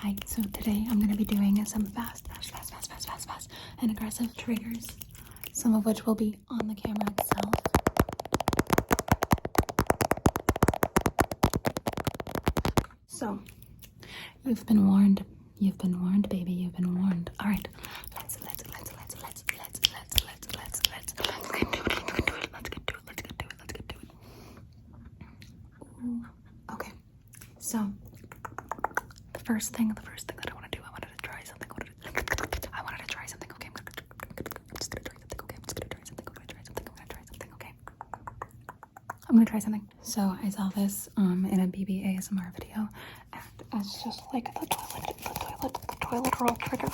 Hi, so today I'm going to be doing some fast, fast, fast, fast, fast, fast, fast, and aggressive triggers, some of which will be on the camera itself. So, you've been warned. You've been warned, baby. You've been warned. All right, let's let's let's let's let's let's let's let's let's let's let's let's get to it. Let's get to it. Let's get to it. Let's get to it. Let's get to it. Ooh. Okay. So the first thing, the first thing that I want to do, I wanted to try something. I wanted to, I wanted to try something. Okay, I'm, gonna, I'm just gonna try something. Okay, I'm just gonna try something. I'm gonna try something. I'm gonna try something. Okay. I'm gonna try something. So I saw this um in a BB ASMR video, and it's just like the toilet the toilet, the toilet roll toilet roll trigger.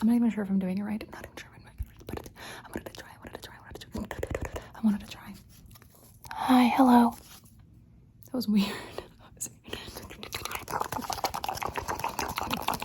I'm not even sure if I'm doing it right. I'm not even sure but I wanted to try. I wanted to try. I wanted to try. I wanted to try. Hi, hello. That was weird.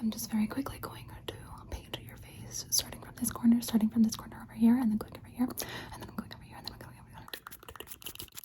I'm just very quickly going to paint your face, starting from this corner, starting from this corner over here, and then going over here, and then i going over here, and then i going over here.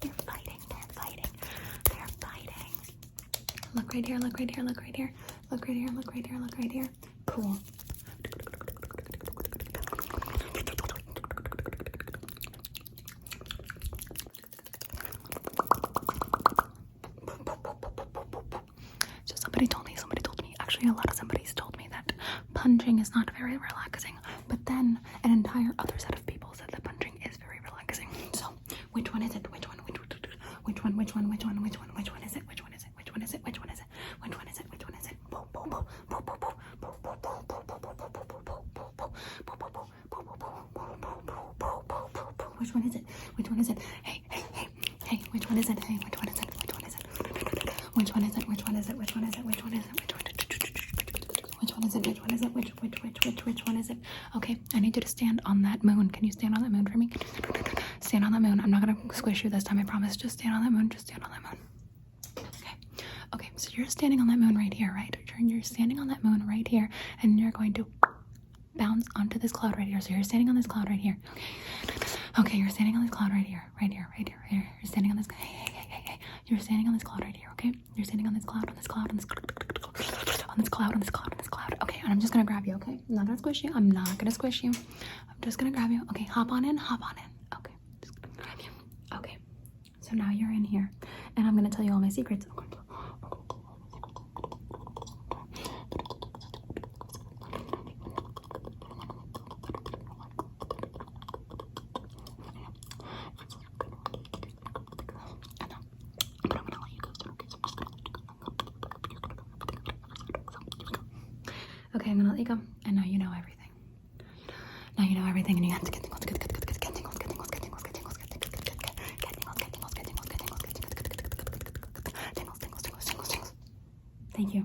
They're fighting, they're fighting, they're fighting. Look right here, look right here, look right here, look right here, look right here, look right here. Cool. So somebody told me, somebody told me, actually a lot of somebody's told me that punching is not very relaxing. But then an entire other set of people said that punching is very relaxing. So which one is it? Which one? Which one? Which one? Which one? Which one? Which one? Which one is it? Which one is it? Which one is it? Which one is it? Which one is it? Which one is it? Bo bo bo bo bo bo bo bo bo bo bo bo bo bo which one is it? Which one is it? Hey, hey, hey, hey, which one is it? Hey, which one is it? Which one is it? Which one is it? Which one is it? Which one is it? Which one is it? Which one is it? Which one is it? Which one is it? Which one is it? Which which which which which one is it? Okay, I need you to stand on that moon. Can you stand on that moon for me? Stand on that moon. I'm not gonna squish you this time. I promise. Just stand on that moon. Just stand on that moon. Okay. Okay. So you're standing on that moon right here, right? You're standing on that moon right here, and you're going to bounce onto this cloud right here. So you're standing on this cloud right here. Okay. Okay. You're standing on this cloud right here. Right here. Right here. Right here. You're standing on this. Hey, hey, hey, hey, hey. You're standing on this cloud right here. Okay. You're standing on this cloud, on this cloud, on this cloud, on this cloud, on this cloud, on this cloud. Okay, and I'm just gonna grab you, okay? I'm not gonna squish you. I'm not gonna squish you. I'm just gonna grab you. Okay, hop on in, hop on in. Okay, just gonna grab you. Okay, so now you're in here, and I'm gonna tell you all my secrets. Okay. And I'm gonna let you go okay? I'm gonna let you go. know you And now you know everything. Now you know everything, and you have to get tingles, Thank you.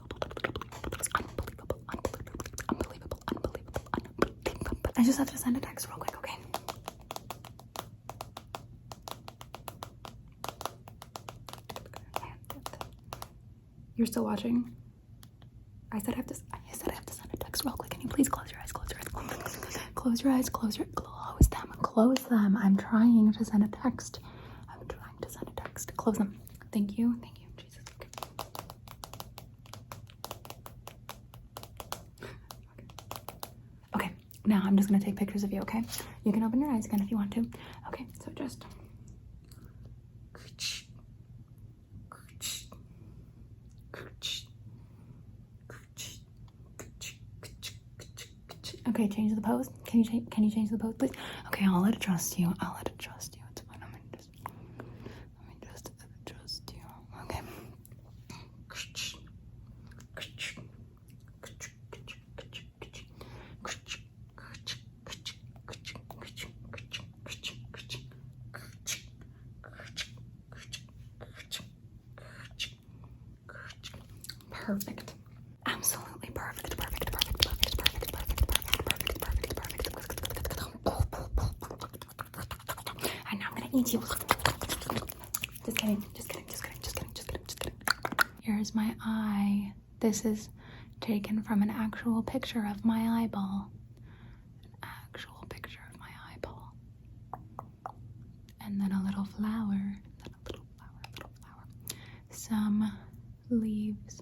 I just have to send a text real quick, okay? You're still watching? I said I have to. I said I have to send a text real quick. Can you please close your eyes? Close your eyes. Close your eyes. Close your eyes. close them. Close them. I'm trying to send a text. I'm trying to send a text. Close them. Thank you. Thank you. Okay. okay. Now I'm just gonna take pictures of you. Okay. You can open your eyes again if you want to. Okay. So just. Okay, change the pose. Can you change? Can you change the pose, please? Okay, I'll let trust you. I'll let trust you. Let me just adjust you. Okay. Perfect. I'm so absolutely perfect, perfect, perfect, perfect, perfect, perfect, perfect, perfect, perfect, perfect. And now I'm gonna eat you. Just kidding, just kidding, just kidding, just kidding, just kidding, just kidding. Here's my eye. This is taken from an actual picture of my eyeball. An actual picture of my eyeball. And then a little flower. Then a little flower, little flower. Some leaves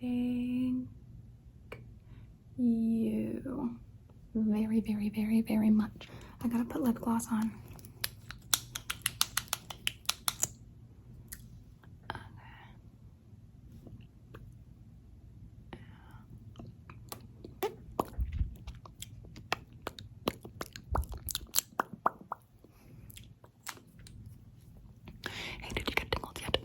Thank you very, very, very, very much. I gotta put lip gloss on. Hey, did you get tingles yet?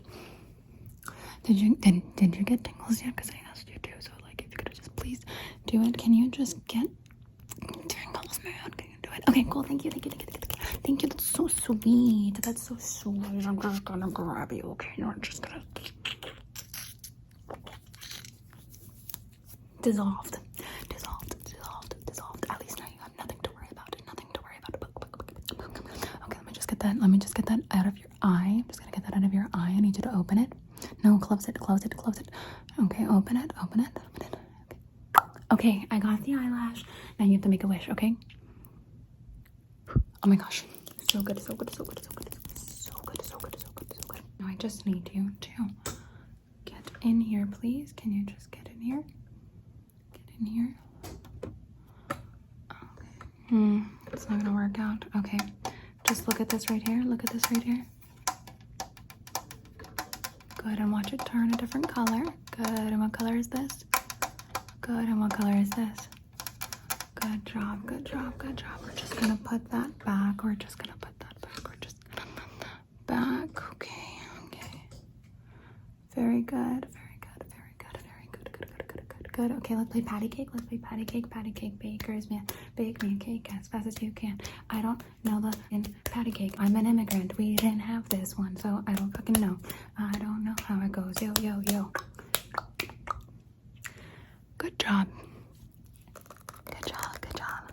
Did you did, did you get tingles yet? Because I asked you to. So like, if you could just please do it. Can you just get tingles, man? Can you do it? Okay, cool. Thank you. Thank you. Thank you. Thank you. Thank you. That's so sweet. That's so sweet. I'm just gonna grab you. Okay, no, I'm just gonna dissolved, dissolved, dissolved, dissolved. At least now you have nothing to worry about. Nothing to worry about. Okay, let me just get that. Let me just get that out of your eye. I'm just gonna get that out of your eye. I need you to open it. No, close it, close it, close it. Okay, open it, open it, open it. Okay, okay I got the eyelash. Now you have to make a wish, okay? Oh my gosh. So good, so good, so good, so good. So good, so good, so good, so good. Now I just need you to get in here, please. Can you just get in here? Get in here. Okay. Hmm, it's not gonna work out. Okay. Just look at this right here. Look at this right here. Go ahead and watch it turn a different color. Good. And what color is this? Good. And what color is this? Good job. Good job. Good job. We're just gonna put that back. We're just gonna put that back. We're just gonna put that back. Okay. Okay. Very good. Very good. Very good. Very good. Good. Good. Good. Good. Good. Okay, let's play patty cake. Let's play patty cake. Patty cake. Baker's man. Bake man cake as fast as you can. I don't know the in patty cake. I'm an immigrant. We didn't have this one, so I don't fucking know. I don't know how it goes. Yo yo yo. Good job. Good job. Good job.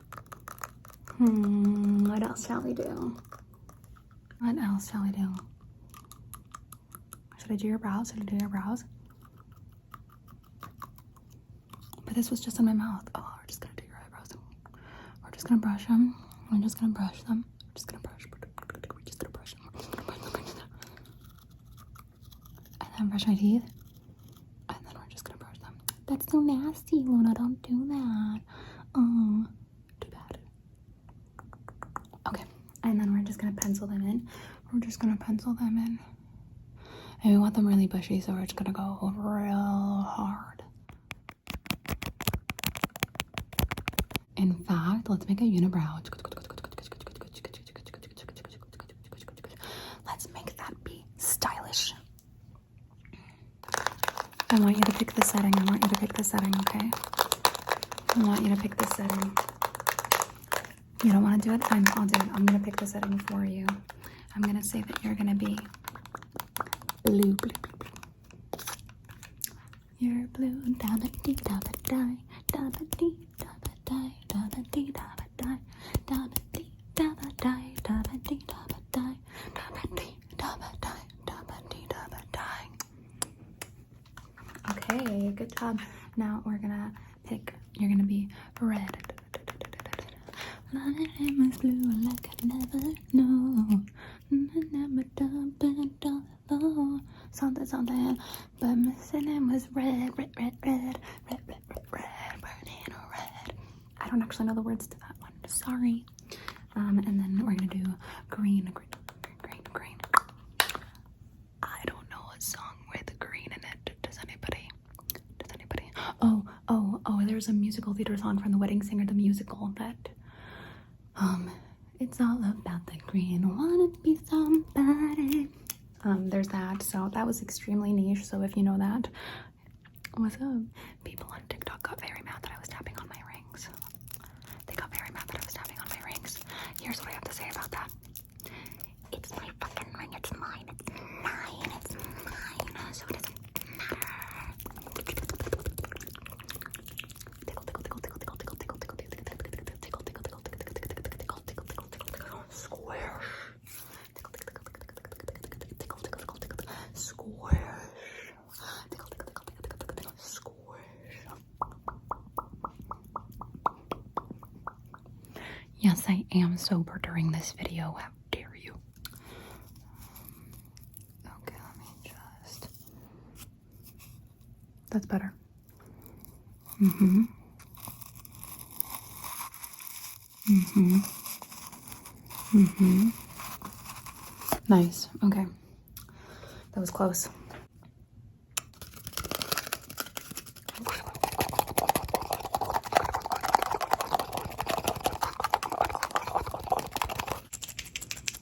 Hmm. What else shall we do? What else shall we do? Should I do your brows? Should I do your brows? But this was just in my mouth. Oh, we're just gonna do your eyebrows. We're just gonna brush them. I'm just gonna brush them. We're just gonna brush. we just gonna brush them. And then brush my teeth. And then we're just gonna brush them. That's so nasty, Luna. Don't do that. Oh, Okay, and then we're just gonna pencil them in. We're just gonna pencil them in. And we want them really bushy, so we're just gonna go real hard. In fact, let's make a unibrow. Let's make that be stylish. I want you to pick the setting. I want you to pick the setting, okay? I want you to pick the setting. You don't want to do it? I'm, I'll do it. I'm going to pick the setting for you. I'm going to say that you're going to be blue, blue, blue, blue. You're blue. Da da dee da da die. Da da dee da da die. Da da dee da da die. Da da dee da da die. Da da dee da da die. Da da dee da da die. Da da dee da da die. Okay, good job. Now we're gonna pick, you're gonna be red. Must blue like I never know. Never done, done, done, something, something. But missing him was red, red, red, red, red, red, red, red, burning red. I don't actually know the words to that one. Sorry. Um, and then we're gonna do green, green green, green, I don't know a song with green in it. Does anybody? Does anybody? Oh, oh, oh! There's a musical theater song from The Wedding Singer, the musical that. Um, it's all about the green. Wanna be somebody. Um, there's that. So that was extremely niche. So if you know that, what's up? People on TikTok got very mad that I was tapping on my rings. They got very mad that I was tapping on my rings. Here's what I have to say about that. It's my fucking ring. It's mine. mine. mine. So it doesn't matter. square. square. Squish. Yes, I am sober during this video. How dare you? okay, let me just. That's better. Mm hmm. Mm hmm. Mm hmm. Nice. Okay. That was close.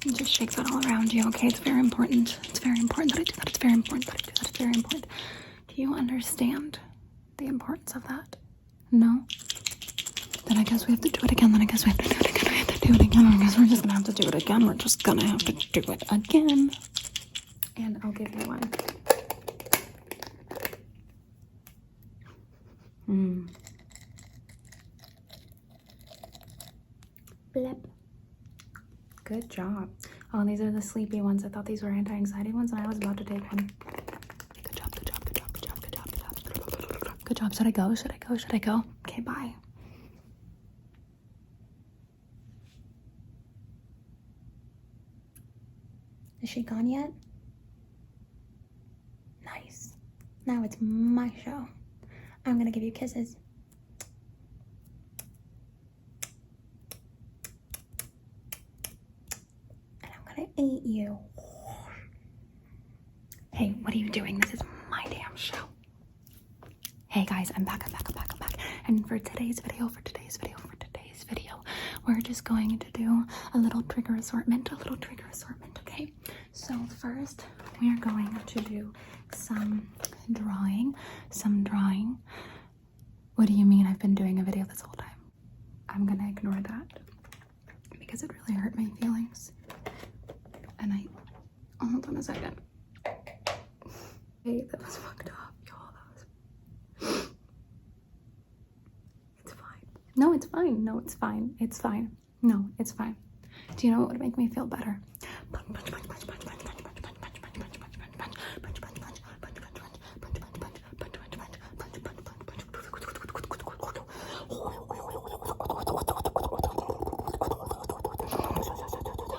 And just shake that all around you, okay? It's very important. It's very important that I do that. It's very important that I do that. It's very important. Do you understand the importance of that? No? Then I guess we have to do it again. Then I guess we have to do it again. We have to do it again. I guess we're just gonna have to do it again. We're just gonna have to do it again. And I'll give you one. Mm. Blip. Good job. Oh, these are the sleepy ones. I thought these were anti-anxiety ones, and I was about to take one. Good job, good job, good job, good job, good job, good job. Good job. Should I go? Should I go? Should I go? Okay, bye. Is she gone yet? Nice. Now it's my show. I'm gonna give you kisses. And I'm gonna eat you. Hey, what are you doing? This is my damn show. Hey guys, I'm back, i back, i back, i back. And for today's video, for today's video, for today's video, we're just going to do a little trigger assortment, a little trigger assortment, okay? So first, we are going to do some drawing, some drawing. What do you mean I've been doing a video this whole time? I'm gonna ignore that because it really hurt my feelings. And I Hold on a second. Hey, that was fucked up, y'all. That was. it's fine. No, it's fine. No, it's fine. It's fine. No, it's fine. Do you know what would make me feel better?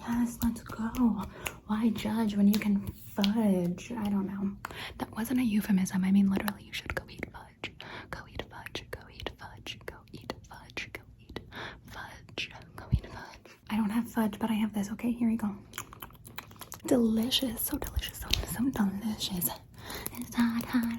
Yes, let's go. Why judge when you can fudge? I don't know. That wasn't a euphemism. I mean, literally, you should go eat fudge. Go eat fudge. Go eat fudge. Go eat fudge. Go eat fudge. Go eat fudge. I don't have fudge, but I have this. Okay, here we go. Delicious. So delicious. So, so delicious. It's hot, hot.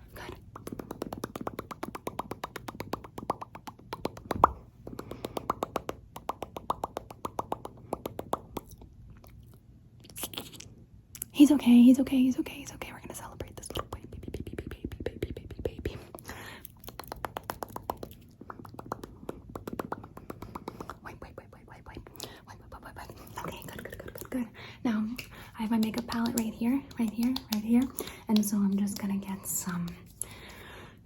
Good. He's okay. He's okay. He's okay. He's okay. We're gonna celebrate this little baby, baby, baby, baby, baby, baby, baby. Wait, wait, wait, wait, wait, wait, wait, wait, wait, wait. Okay, good, good, good, good, good. Now I have my makeup palette right here, right here, right here. And so I'm just gonna get some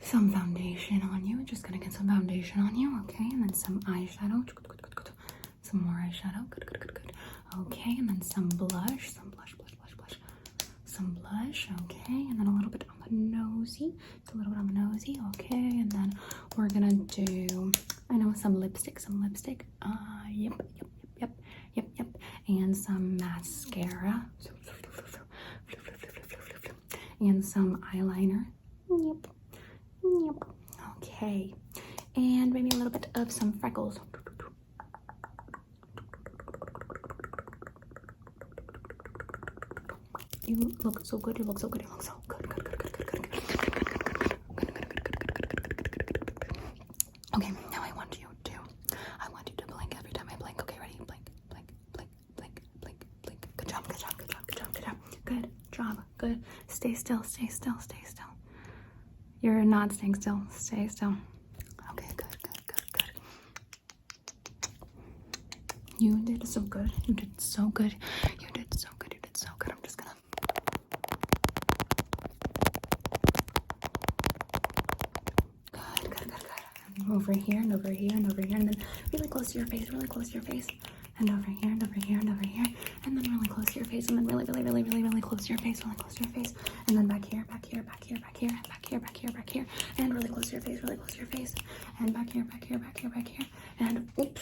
some foundation on you. just gonna get some foundation on you, okay? And then some eyeshadow. Some more eyeshadow. Good, good, good, good. Okay, and then some blush. Some blush, blush, blush, blush. Some blush, okay, and then a little bit on the nosy. a little bit on the nosy, okay, and then we're gonna do I know some lipstick, some lipstick. Uh yep, yep, yep, yep, yep and some mascara and some eyeliner. Yep. Yep. Okay. And maybe a little bit of some freckles. You look so good. You look so good. You look so good. good Okay, now I want you to, I want you to blink every time I blink. Okay, ready? Blink, blink, blink, blink, blink, blink. Good job, good job, good job, good job, good job. Good job, good. Stay still, stay still, stay still. You're not staying still, stay still. Okay, good, good, good, good. You did so good, you did so good, you did so good, you did so good. I'm just gonna. Good, good, good, good. Over here and over here and over here, and then really close to your face, really close to your face, and over here and over here and over here, and then really close to your face, and then really, really, really, really, really close to your face, really close to your face, and then back here, back here, back here, back here, and back here, back here, back here, and really close to your face, really close to your face, and back here, back here, back here, back here, and oops.